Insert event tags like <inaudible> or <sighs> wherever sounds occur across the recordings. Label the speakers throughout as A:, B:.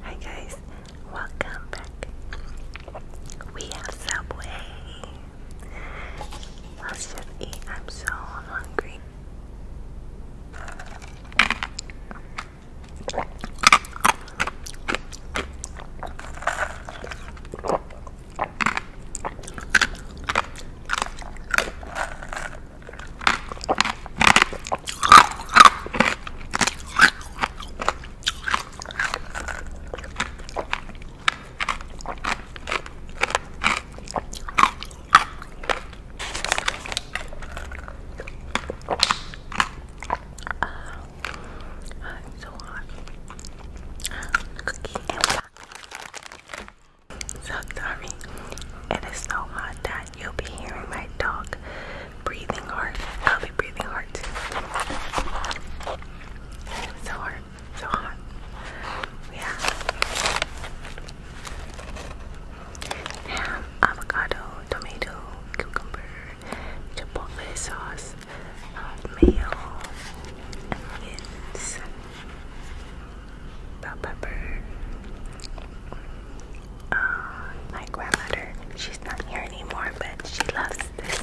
A: Hi guys, welcome back. We have Subway. Let's just eat. I'm so hungry. I'm so hot. Cookie so sorry. It is so hot that You'll be hearing my dog breathing hard. I'll be breathing hard too. So hard, so hot. Yeah. Ham, avocado, tomato, cucumber, chipotle sauce, uh, onions bell pepper. Um, my grandmother, she's not here anymore, but she loves this.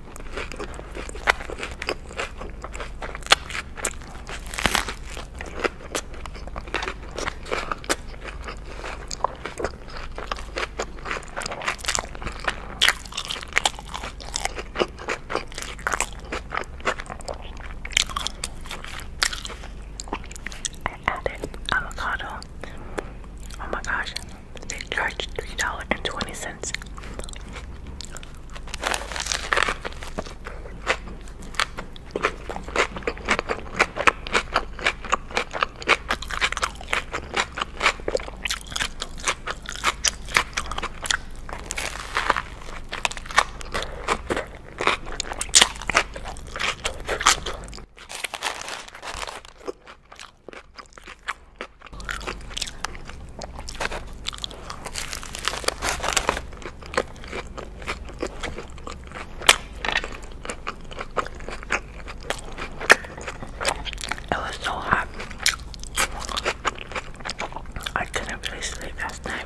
A: I added avocado. Oh my gosh, they charge three dollars and twenty cents. It was so hot. I couldn't really sleep last night.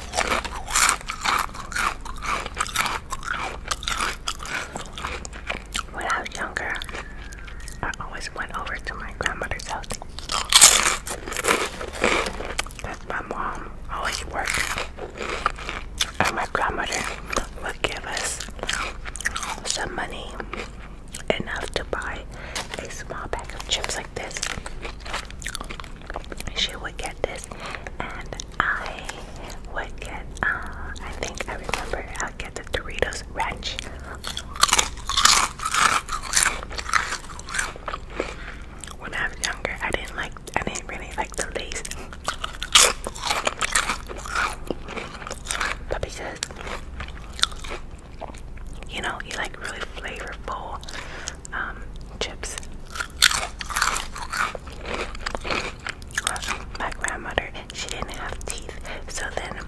A: When I was younger, I always went over to my grandmother's house. Because my mom always worked. And my grandmother would give us some money enough to buy a small bag of chips like this she would get this, and I would get, uh, I think I remember i get the Doritos Ranch. When I was younger, I didn't like, I didn't really like the Lays. But because, you know, you like really flavorful um, chips. My grandmother, she didn't have teeth, so then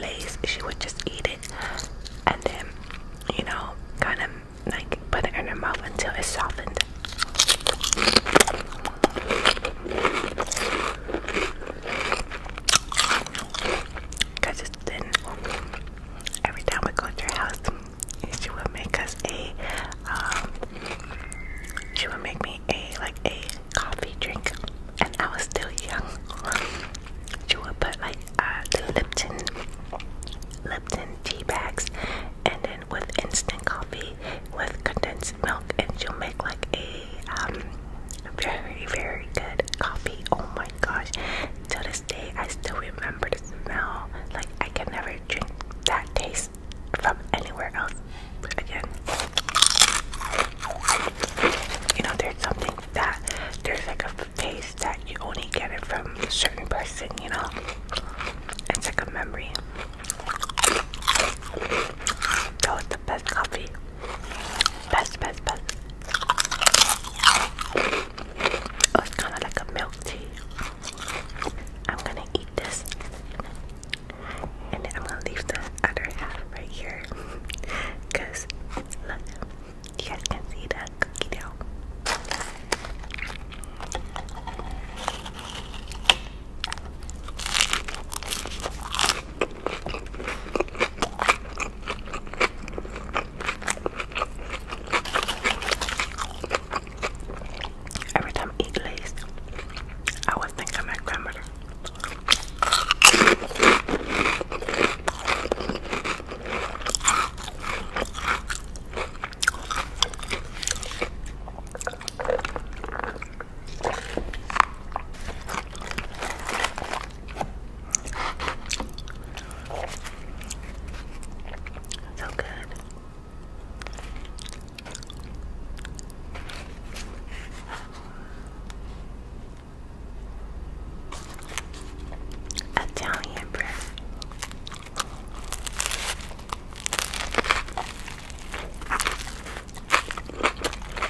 A: Lay's, she would just eat it and then, you know, kind of like put it in her mouth until it softened. Then every time we go to her house, she will make us a, um, she would make me a, like a coffee drink, and I was still young. She will put like uh, the Lipton, Lipton tea bags, and then with instant coffee, with condensed milk, and she'll make like a, um, very, very good coffee. Oh my gosh, to this day, I still remember the smell. Like, I can never drink that taste from anywhere else again. You know, there's something that there's like a taste that you only get it from a certain person, you know? It's like a memory. That was the best coffee. Best, best, best. Oh, it's kind of like a milk tea. I'm gonna eat this and then I'm gonna leave the other half right here because <laughs> look, you guys can see the cookie dough. Every time I eat Lay's, I would think of my grandmother. So good. Italian bread.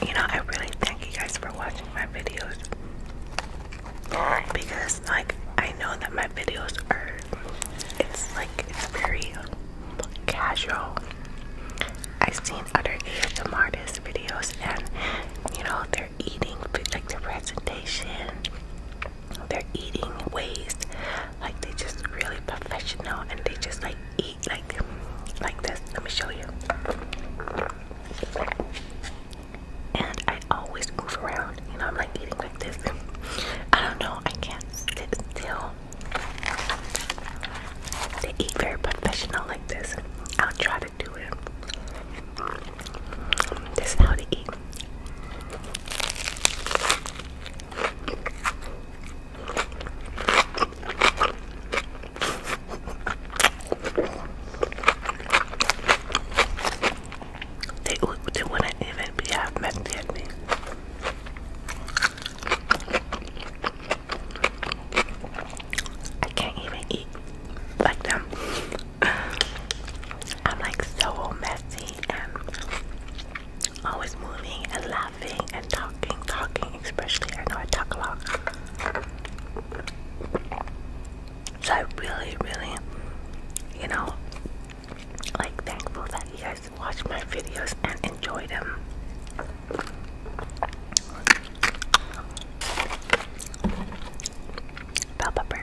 A: You know, I really thank you guys for watching my videos because like I know that my videos are it's like it's very casual. I've seen other ASM artist videos and you know they're eating like their presentation they're eating ways like they just really professional and they just like eat like like this let me show you and I always move around. You know, I'm like eating like this. <laughs> I don't know. I can't sit still. They eat very professional like this. I'll try to do it. This is how they eat. They, they wouldn't even be half messy I can't even eat like them. <sighs> I'm like so messy and always moving and laughing and talking, talking, especially. I know I talk a lot. So I really, really, you know, like thankful that you guys watch my videos and enjoy them. Bell pepper.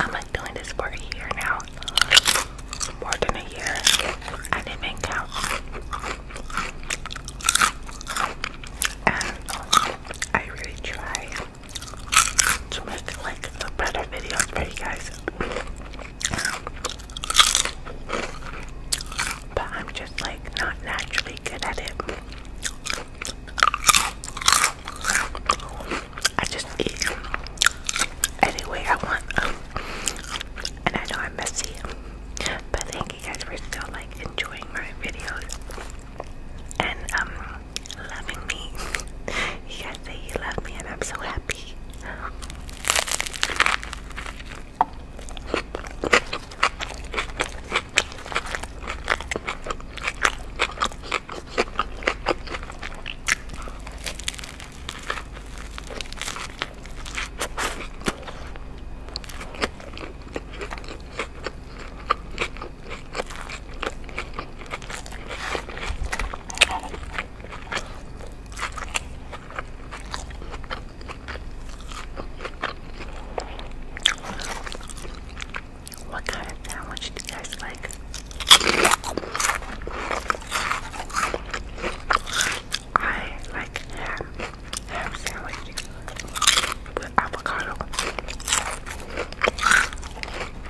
A: I'm like doing this for a year now. More than a year. I didn't count. And I really try to make like the better videos for you guys. But I'm just like not naturally good at it. I just eat any way I want. And I know I'm messy. But thank you guys for still like enjoying my videos. And um loving me. <laughs> You guys say you love me, and I'm so happy. What kind of sandwich do you guys like? I like ham, ham sandwich with avocado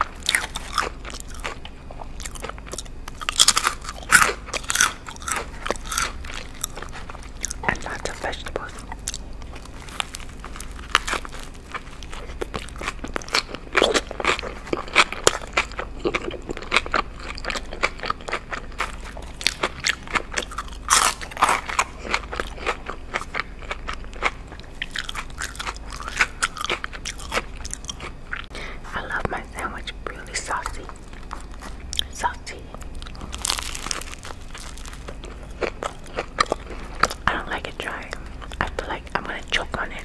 A: and lots of vegetables. I love my sandwich really saucy. Salty. I don't like it dry. I feel like I'm gonna choke on it.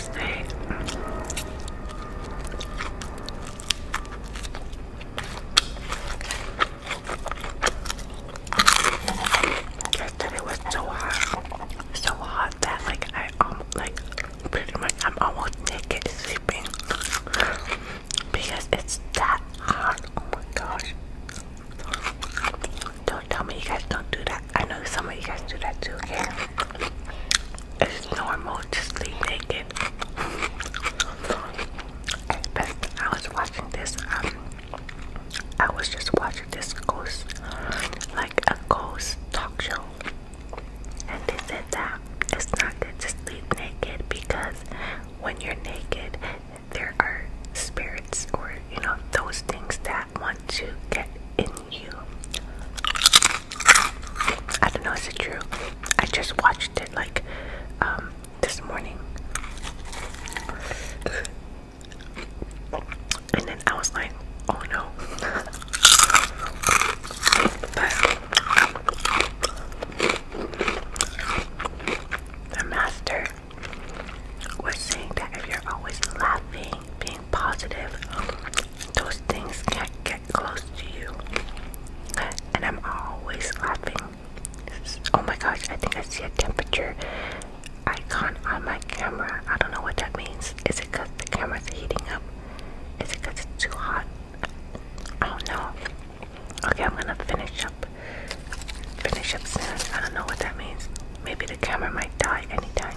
A: last night. it was so hot, so hot that like I um like pretty much I'm almost naked sleeping because it's that hot. Oh my gosh! Don't tell me you guys don't do that. I know some of you guys do that too, okay? It's normal to sleep naked. But I was watching this, um, I was just watching this ghost, like a ghost talk show. And they said that it's not good to sleep naked because when you're naked, there are spirits you know, those things that want to get in you. I don't know, is it true? I just watched it like um, this morning. And then I was like, oh no. the master we're saying that if you're always laughing, being positive, those things can't get close to you. And I'm always laughing. Oh my gosh, I think I see a temperature icon on my camera. I don't know what that means. Is it because the camera's heating up? Is it because it's too hot? I don't know. Okay, I'm gonna finish up. Finish up soon. I don't know what that means. Maybe the camera might die anytime.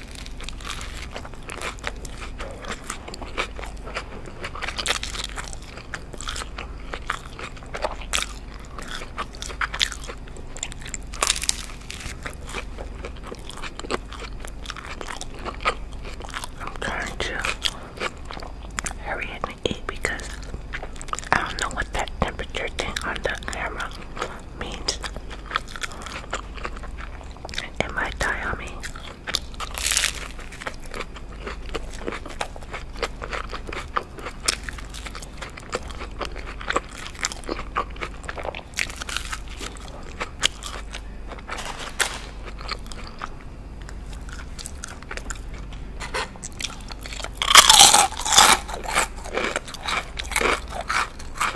A: I'm trying to hurry and eat because I don't know what that temperature thing on the camera means it might die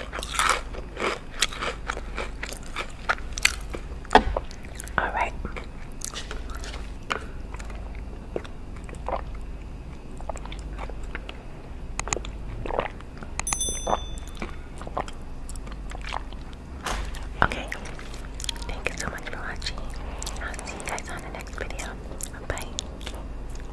A: all right. Okay. Thank you so much for watching. I'll see you guys on the next video. Bye.